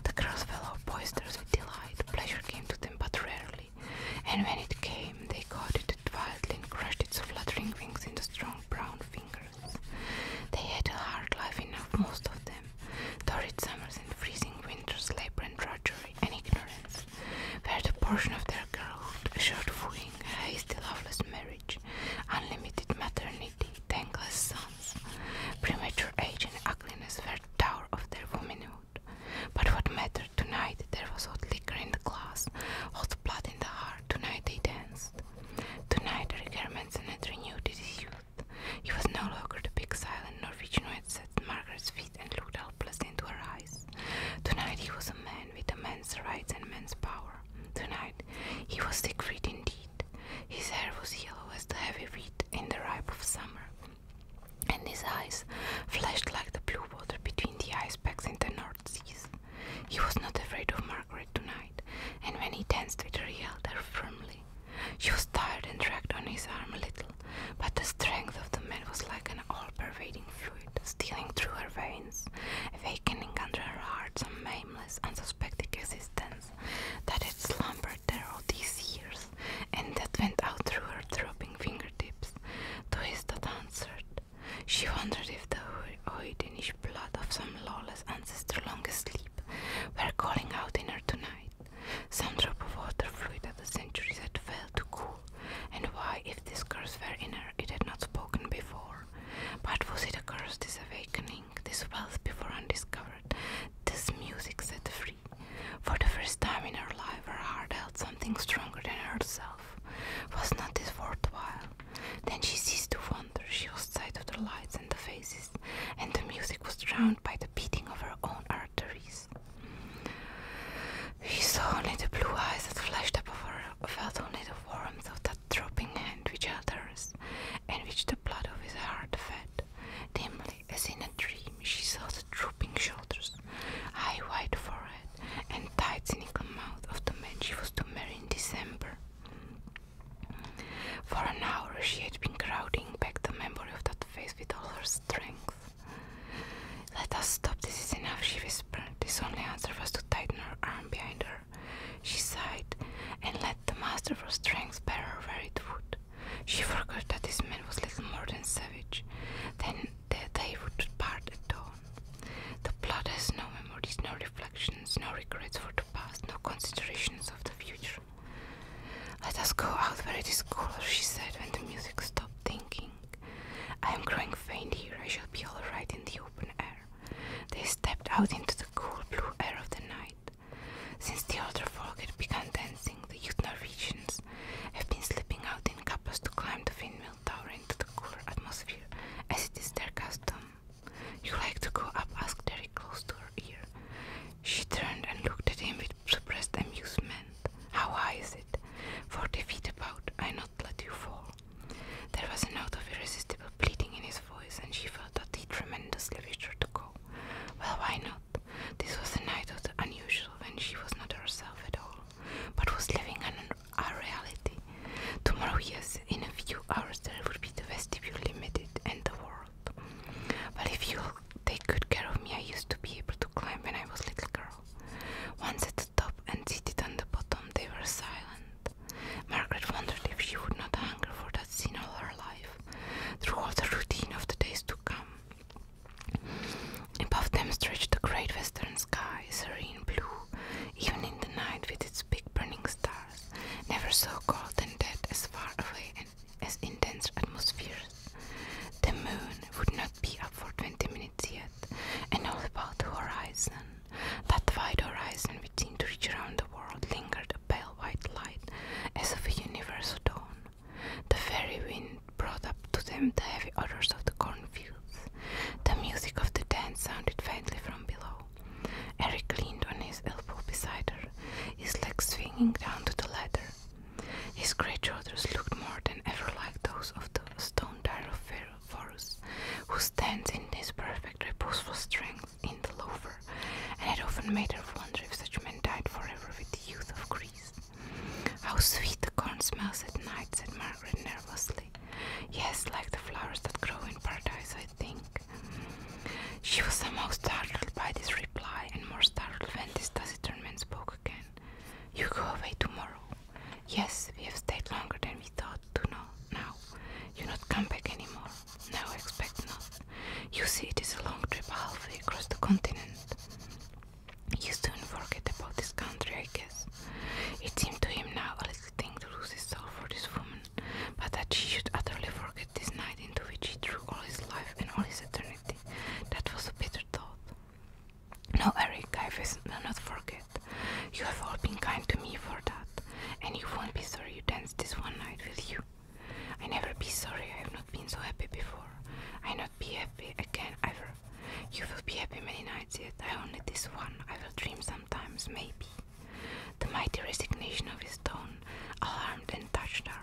The girls fell fellow boisterous with delight, pleasure came to them but rarely, and when it came, they caught it wildly and crushed its fluttering wings in the strong brown fingers. They had a hard life enough, most of them, torrid summers and freezing winters, labor and drudgery, and ignorance, where the portion of their girlhood assured fooling, hasty, loveless marriage, unlimited maternity, thankless sons, premature age and ugliness were the tower of their womanhood. But what mattered tonight? There was hot liquor in the glass, hot blood in the heart. Tonight they danced. Tonight requirements and had renewed his youth. He was no longer the big silent Norwegian who had sat at Margaret's feet and looked helplessly into her eyes. Tonight he was a man with a man's rights and man's power. Tonight he was Siegfried indeed. His hair was yellow as the heavy wheat in the ripe of summer, and his eyes flashed like the blue water between the ice in the North Seas. He was not afraid of Margaret tonight, and when he danced with her, held her firmly. She was tired and dragged on his arm a little, but the strength of the man was like an all pervading fluid stealing through her veins, awakening under her heart some nameless, unsuspecting existence that had slumbered there all these years, and that went out through her throbbing fingertips. To his that answered, she wondered if the Oidenish blood of some lawless ancestor long asleep were calling out in her tonight. Some drop of water fluid that the centuries had failed to cool and why, if this curse were in her, it had not spoken before? But was it a curse, this awakening, this wealth before undiscovered, this music set free? For the first time in her life, her heart held something stronger than herself. Was not this worth while? Then she ceased to wonder, she lost sight of the lights and the faces, and the music was drowned by the beating of her own arteries. He saw only the blue eyes that flashed above her, felt only the warmth of that dropping hand which held hers, and which the blood of his heart fed. Dimly, as in a dream, she saw the drooping shoulders, high white forehead, and tight cynical mouth of the man she was to marry in December. For an hour she had been crowding back the memory of that face with all her strength. Let us stop, this is enough, she whispered. This only answer was to tighten her arm behind her. She sighed and let the master of her strength bear her where it would. She forgot that this man was little more than savage. Then they would part at dawn. The plot has no memories, no reflections, no regrets for the past, no considerations of the future. Let us go out where it is cooler, she said when the music stopped thinking. I am growing faint here. I shall be all right in the open air. They stepped out into the cool blue air of the night. Since the older folk had begun dancing, the youth Norwegians have been slipping out in couples to climb the windmill tower into the cooler atmosphere, as it is their custom. You like to go up? asked Derek close to her ear. She turned and looked at him with suppressed amusement. How high is it? Forty feet about. I know let you fall. There was a note of irresistible pleading in his voice, and she felt that he tremendously wished her to go. Well, why not? This was a night of the unusual when she was not herself at all, but was living in a reality. Tomorrow, yes, in a few hours there would be the vestibule limited and the world. But if you'll take good care of me, I used to be able to climb when I was a little girl. Once at the top and seated on the bottom, they were silent. Margaret wondered if she would not hunger for that scene all her life, through all the routine of the days to come. Above them stretched the great western sky, serene blue, even in the night with its big burning stars, never so cold and dead as far away and as in dense atmospheres. The moon, would not be up for 20 minutes yet, and all about the horizon. That wide horizon which seemed to reach around the world lingered a pale white light as of a universal dawn. The very wind brought up to them the heavy odors of the cornfields. The music of the dance sounded faintly from below. Eric leaned on his elbow beside her, his legs swinging down to the ladder. His great shoulders looked more than ever like those of the stone Tyrophorus, who stands in this perfect reposeful strength in the lover, and it often made her wonder if such men died forever with the youth of Greece. How sweet the corn smells at night, said Margaret nervously. Yes, like the flowers that grow in paradise, I think. She was somehow startled by this reply, and more startled when this taciturn man spoke again. You go away tomorrow. Yes, we have stayed longer than we thought to know now. You not come back anymore. No, expect not. You see, it is a long trip halfway across the continent. You soon forget about this country, I guess. It seemed to him now a little thing to lose his soul for this woman, but that she should utterly forget this night into which he threw all his life and all his eternity. That was a bitter thought. No, Eric, I will not forget. You have all been kind to me for that, and you won't be sorry you danced this one night, with you? I never be sorry I have not been so happy before. I not be happy again ever. You will be happy many nights yet. I only this one. I will dream sometimes, maybe. The mighty resignation of his tone alarmed and touched her.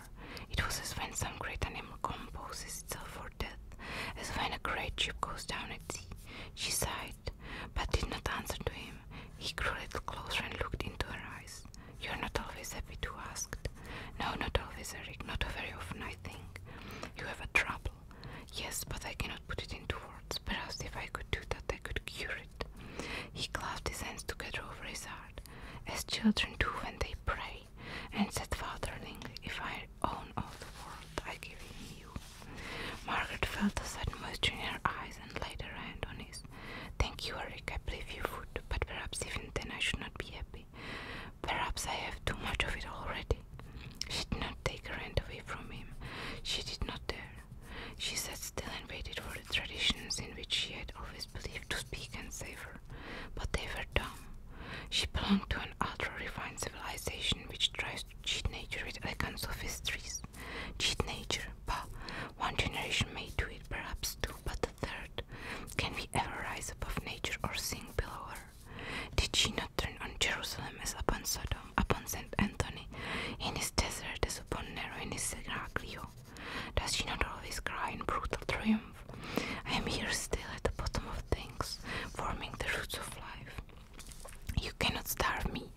It was as when some great animal composes itself for death as when a great ship goes down at sea. She sighed, but did not answer to him. He grew a little closer and looked into her eyes. You're not always happy, too, asked. No, not always, Eric. Not very often, I think. You have a trouble. Yes, but I cannot put it into words. Perhaps if I could do that, I could cure it. He clasped his hands together over his heart. As children do when they pray, and said, Fatherling, if I own all the world, I give him you. Margaret felt a sudden moisture in her eyes and laid her hand on his. Thank you, Eric, I believe you would, but perhaps even then I should not be happy. Perhaps I have too much of it already. She did not take her hand away from him. She did not dare. She sat still and waited for the traditions in which she had always believed to speak and save her, but they were dumb. She belonged to an ultra refined civilization which tries to cheat nature with elegant sophistries. Cheat nature, bah! One generation may do it, perhaps two, but the third. Can we ever rise above nature or sink below her? Did she not turn on Jerusalem as upon Sodom, upon St. Anthony, in his desert as upon Nero in his Seraglio? Does she not always cry in brutal triumph? I am here still at the bottom of things, forming the roots of life. You cannot starve me,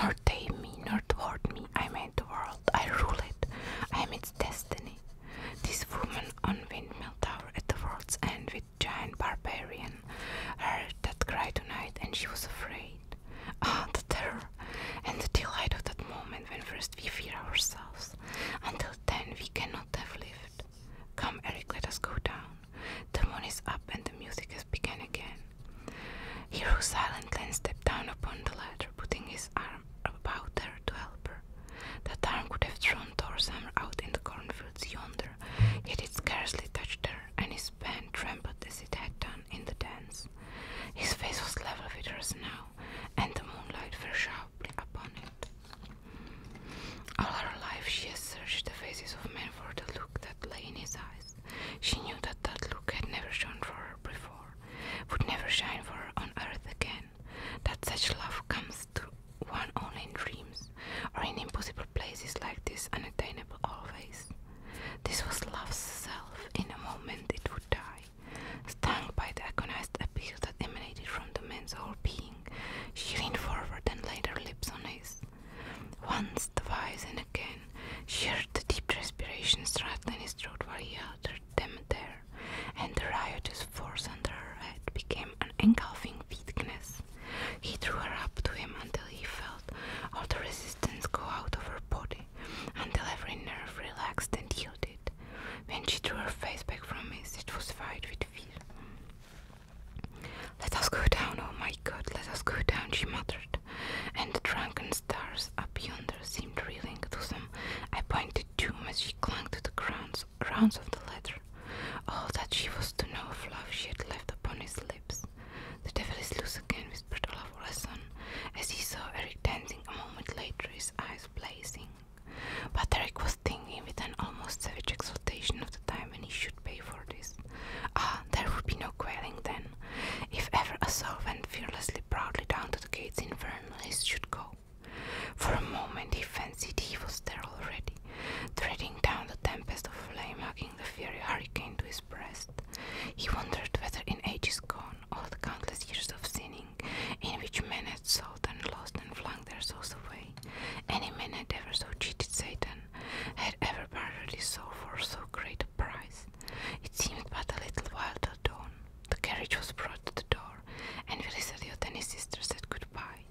nor tame me, nor thwart me. I made the world, I rule it, I am its destiny. This woman on windmill tower at the world's end with giant barbarian heard that cry tonight and she was afraid. Ah, the terror and the delight of that moment when first we fear ourselves. Until then we cannot have lived. Come, Eric, let us go down. The moon is up and the music has begun again. He rose silently and stepped down upon the ladder, putting his arm about her to help her. That arm could have thrown Thor out in the cornfields yonder, yet it scarcely touched her, and his pen trembled as it had done in the dance. His face was level with hers now, and the moonlight fell sharply upon it. All her life she has searched the faces of men for the look that lay in his eyes. She knew that that look had never shone for her before, would never shine for her on earth again. That such love comes to one only in dreams, or in impossible places like this, unattainable always. This was love's self. In a moment it would die, stung by the agonized appeal that emanated from the man's whole being she leaned forward and laid her lips on his. Once, twice, and again, she heard the deep respiration struggling in his throat while he held them there, and the riotous force under her head became an engulfing weakness. He drew her up to him until he felt all the resistance go out of her body, until every nerve relaxed and yielded. When she drew her face back from his, it was white with fear. Let us go down, oh my god, let us go down, she muttered, and the drunken stars up yonder seemed reeling to them. I pointed to him as she clung to the grounds, grounds of the ladder. All that she was to know of love she had left upon his lips. The devil is loose again, whispered Olaf Orson, as he saw Eric dancing a moment later, his eyes blazing. But Eric was thinking with an almost savage exultation of the time when he should pay for this. Ah, there would be no quailing then. If ever a soul went fearlessly proudly down to the gates in Vernon, should go. For a moment he fancied he was there already, treading down the tempest of flame, hugging the fiery hurricane to his breast. He wondered whether in ages gone, all the countless years of sinning, in which men had sold and lost and flung their souls away, any man had ever so cheated Satan had ever bartered his soul for so great a price. It seemed but a little while till dawn. The carriage was brought to the door, and Velisadiote and his sister said goodbye.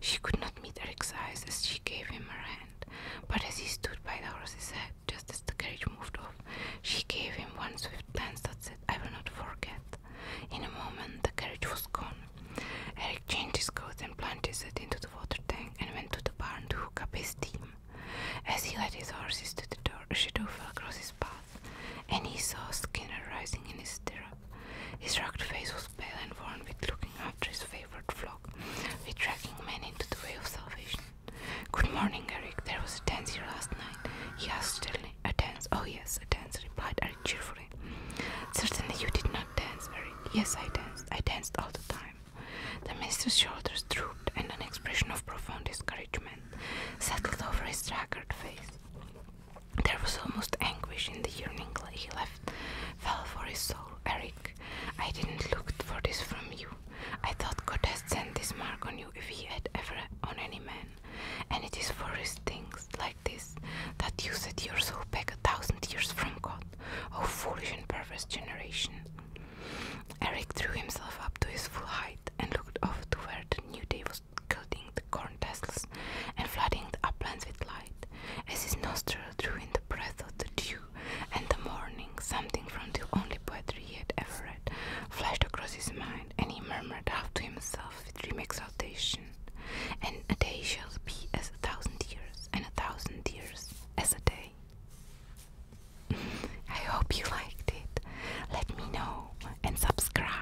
She could not meet Eric's eyes as she gave him her hand, but as he stood by the horse's head, just as the carriage moved off, she gave him one swift glance that said, I will not forget. In a moment, the carriage was gone, Eric changed his coat and plunged head into the water tank and went to the barn to hook up his team. As he led his horses to the door, a shadow fell across his path, and he saw Skinner rising in his stirrup. His rugged face was pale and worn with looking after his favorite flock, with dragging men into the way of salvation. Good morning, Eric. There was a dance here last night, he asked A dance? Oh, yes, a dance, replied cheerfully. Certainly you did not dance very yes I danced. I danced all the time. The minister's shoulders drooped and an expression of profound discouragement settled over his haggard face. There was almost anguish in the yearning he left fell for his soul. Eric, I didn't look for this from you. I thought God had sent this mark on you if he had ever on any man, and it is for his things, like this, that you set your soul back a thousand years from God, O oh, foolish and perverse generation. Eric drew himself up to his full height and looked off to where the new day was gilding the corn tassels and flooding the uplands with light. As his nostril drew in the breath of the dew and the morning, something from the only poetry he had ever read flashed across his mind, and he murmured half to himself with dream exaltation and a day shall be as a thousand years, and a thousand years as a day. I hope you liked it. Let me know and subscribe.